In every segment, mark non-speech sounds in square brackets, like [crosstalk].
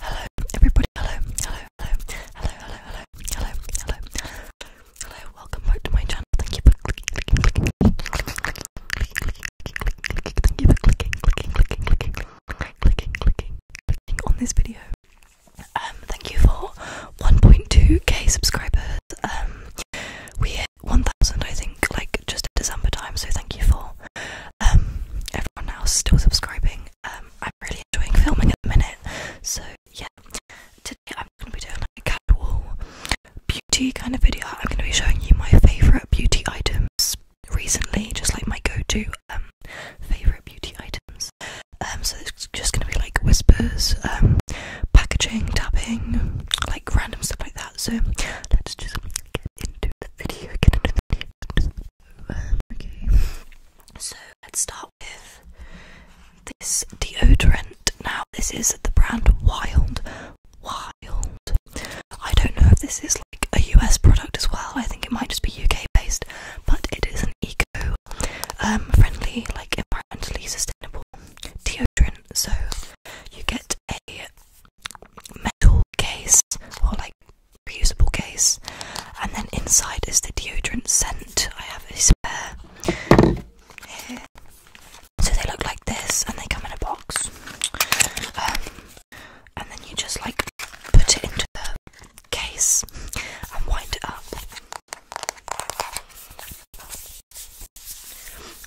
Hello, everybody. Hello, hello, hello, hello, hello, hello, hello, hello, Welcome back to my channel. Thank you for clicking, clicking, clicking, Thank you for clicking, clicking, clicking, clicking, clicking, clicking, clicking on this video. Um, thank you for 1.2k subscribers. Um, we hit 1,000, I think, like just in December time. So thank you for um everyone else still subscribing. Um, I'm really enjoying filming at the minute. So yeah, today I'm going to be doing like a casual beauty kind of video. I'm going to be showing you my favourite beauty items recently, just like my go-to um, favourite beauty items. Um, so it's just going to be like whispers, packaging, tapping, like random stuff like that. So let's just get into the video. Get so let's start with this deodorant. Now, this is the brand Wild. Wild. I don't know if this is like a US product as well. I think it might just be UK based, but it is an eco um, friendly, like environmentally sustainable deodorant. So you get a metal case or like reusable case, and then inside is the deodorant scent. I have a spare So they look like this, and they come in a box. Um, and then you just like put it into the case and wind it up.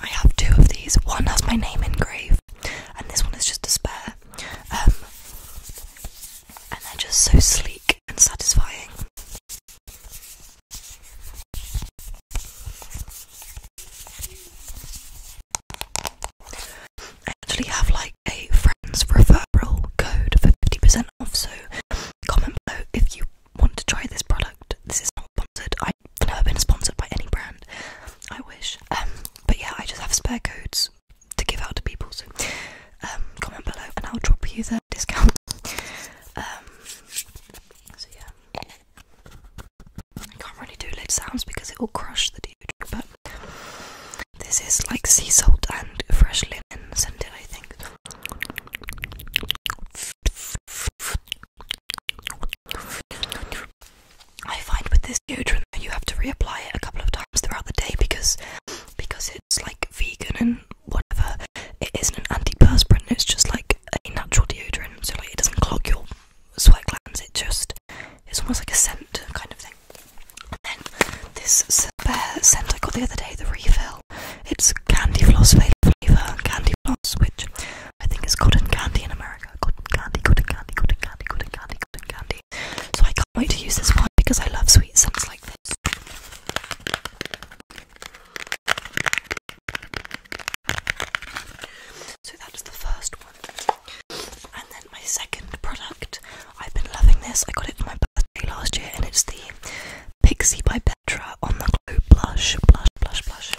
I have two of these. One has my name engraved, and this one is just a spare. Um, and they're just so sleek and satisfying. I actually have like a friend's referral code for 50% off, so comment below if you want to try this product. This is not sponsored, I've never been sponsored by any brand. I wish. Um, but yeah, I just have spare codes to give out to people. So um, comment below and I'll drop you the discount. [laughs] Um, so yeah, I can't really do lid sounds because it will crush the dude. But this is like sea salt and fresh linen scented, I think. I find with this deodorant you have to reapply it a couple of times throughout the day because because it's like vegan and whatever. It isn't an antiperspirant. It's just like a natural deodorant, so like it doesn't clog your sweat glands. It just it's almost like a scent kind of thing. And then this scent I got the other day, the refill. It's candy floss flavour, candy floss, which I think is cotton candy in America. Cotton candy, cotton candy, cotton candy, cotton candy, cotton candy, so I can't wait to use this one because I love sweet scents like this. So that's the first one. And then my second product, I've been loving this. I got it for my birthday last year and it's the Pixie by Petra on the glow blush, blush, blush, blush.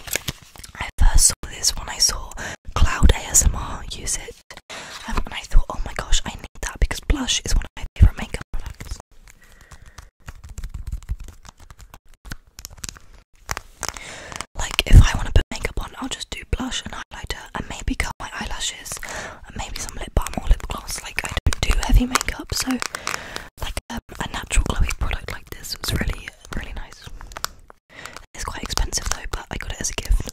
I first saw this when I saw Cloud ASMR use it um, and I thought, oh my gosh, I need that because blush is one of my favorite makeup products. Like, if I want to put makeup on, I'll just do blush and highlighter and maybe curl my eyelashes and maybe some lip balm or lip gloss. Like, I don't do heavy makeup, so like um, a natural glowy product like this was really, really nice. It's quite expensive though, but I got it as a gift.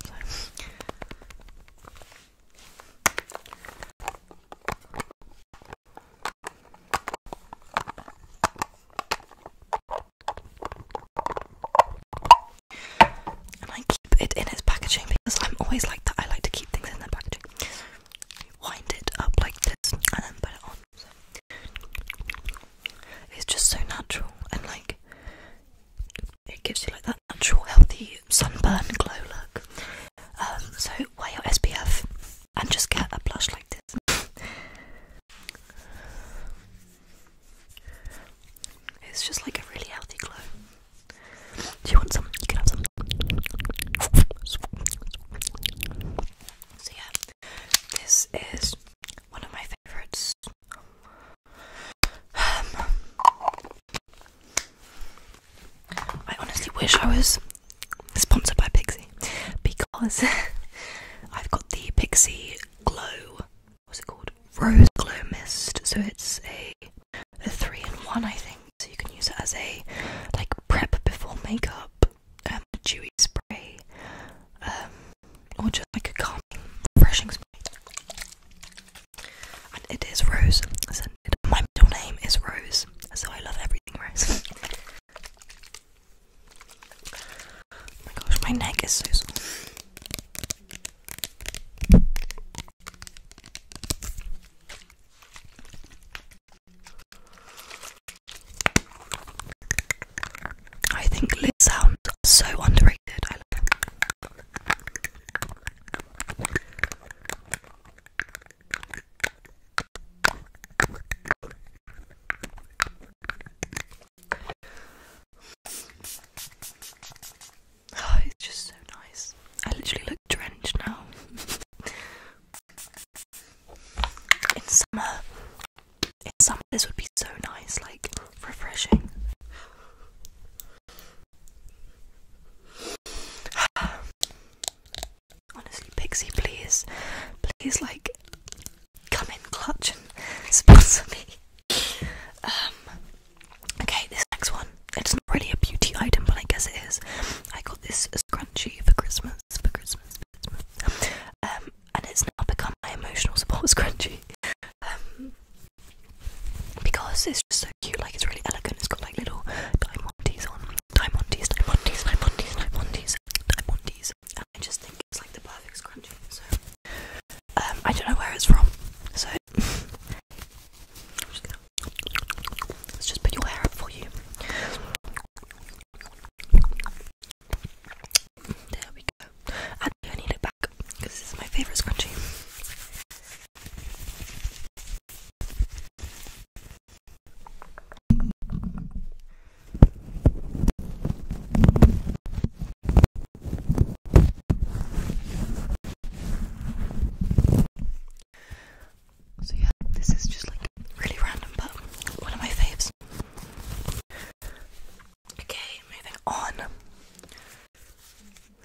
And I keep it in its packaging because I'm always like that. I like to keep things in their packaging. wind it up like this and then put it on. It's just so natural and like it gives you like that natural, healthy sunburn glow look. Um, so wear your SPF and just get a blush like this. it's just like a really healthy glow. Do you want some? can have some. So yeah, this is one of my favourites. [sighs] I honestly wish I was sponsored by Pixie because [laughs] I've got the Pixie Glow. What's it called? Rose Glow Mist. So it's a three in one, I think. So you can use it as a like prep before makeup, um, dewy spray, um, or just like a calming, refreshing spray. And it is rose My middle name is Rose, so I love everything rose. [laughs] Oh my gosh, my neck is so sore. I think lip sounds so underrated. Oh, it's just so nice. I literally look drenched now. [laughs] In summer, in summer, this would be so nice, like refreshing. [sighs] Honestly, Pixie, please, please, like, come in clutch and [laughs] sponsor me. Um, okay, this next one, it's not really a beauty item, but I guess it is. I got this scrunchie for Christmas, for Christmas, for Christmas um, and it's now become my emotional support [laughs] scrunchie um, because it's just so cute. Like it's really elegant. It's got like little diamondies on, diamondies, diamondies, diamondies, diamondies, diamondies. And I just think it's like the perfect scrunchie. So um, I don't know where it's from. So I'm just gonna, let's just put your hair up for you. There we go. And I need it back because this is my favorite scrunchie. So yeah, this is just like really random, but one of my faves. Okay, moving on.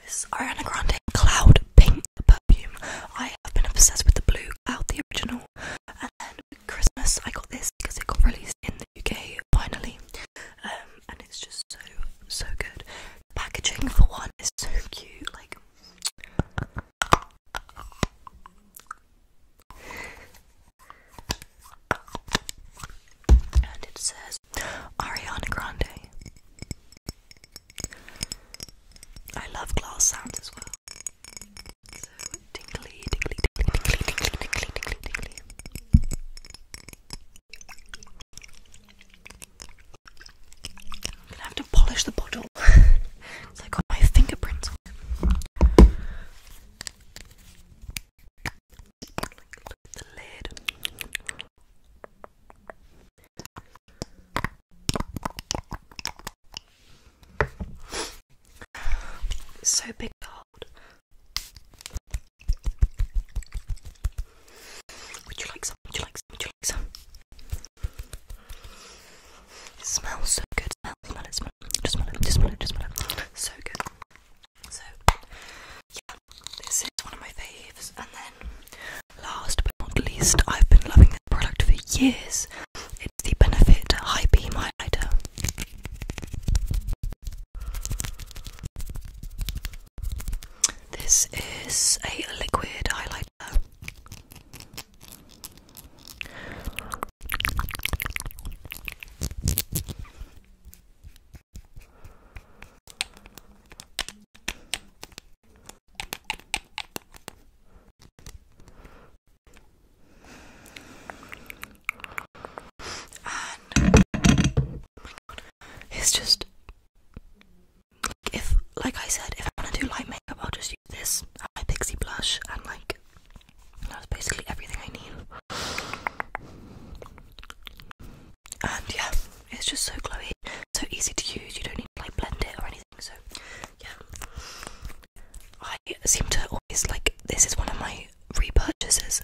This is Ariana Grande Cloud Pink Perfume. I have been obsessed with the blue cloud, the original. And then Christmas, I got this because it got released in the UK finally. Um, and it's just so, so good. packaging, for one, is so cute. Like, and it says Ariana Grande. I love glass sounds as well. So tingly, tingly, tingly, tingly, tingly, tingly, tingly, I'm gonna have to polish the bottle. so [laughs] I got my fingerprints so big to hold. Would you like some? Would you like some? smells so good. Just smell it, just smell it, just smell it. So good. So yeah, this is one of my faves. And then last but not least, I've been loving this product for years. It's the Benefit High Beam Highlighter. This is a liquid highlighter it's just if, like I said, if I want to do light makeup, I'll just use this my pixie blush and like that's basically everything I need. And yeah, it's just so glowy, so easy to use. You don't need to like blend it or anything. So yeah, I seem to always like this is one of my repurchases.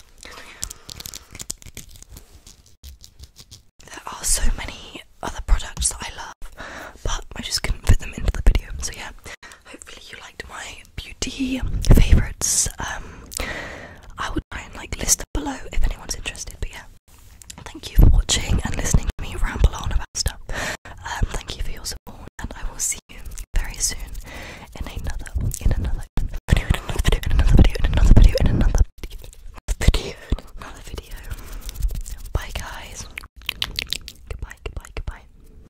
There are so many other products that I love, but I just couldn't fit them into the video. So yeah, hopefully you liked my beauty favourites. Um, I would try and like list them below if anyone's interested. But yeah, thank you for watching and listening to me ramble on about stuff. Um, thank you for your support, and I will see you very soon in another, in another video, in another video, in another video, in another video, in another video, in another video. Bye guys. Goodbye, goodbye, goodbye.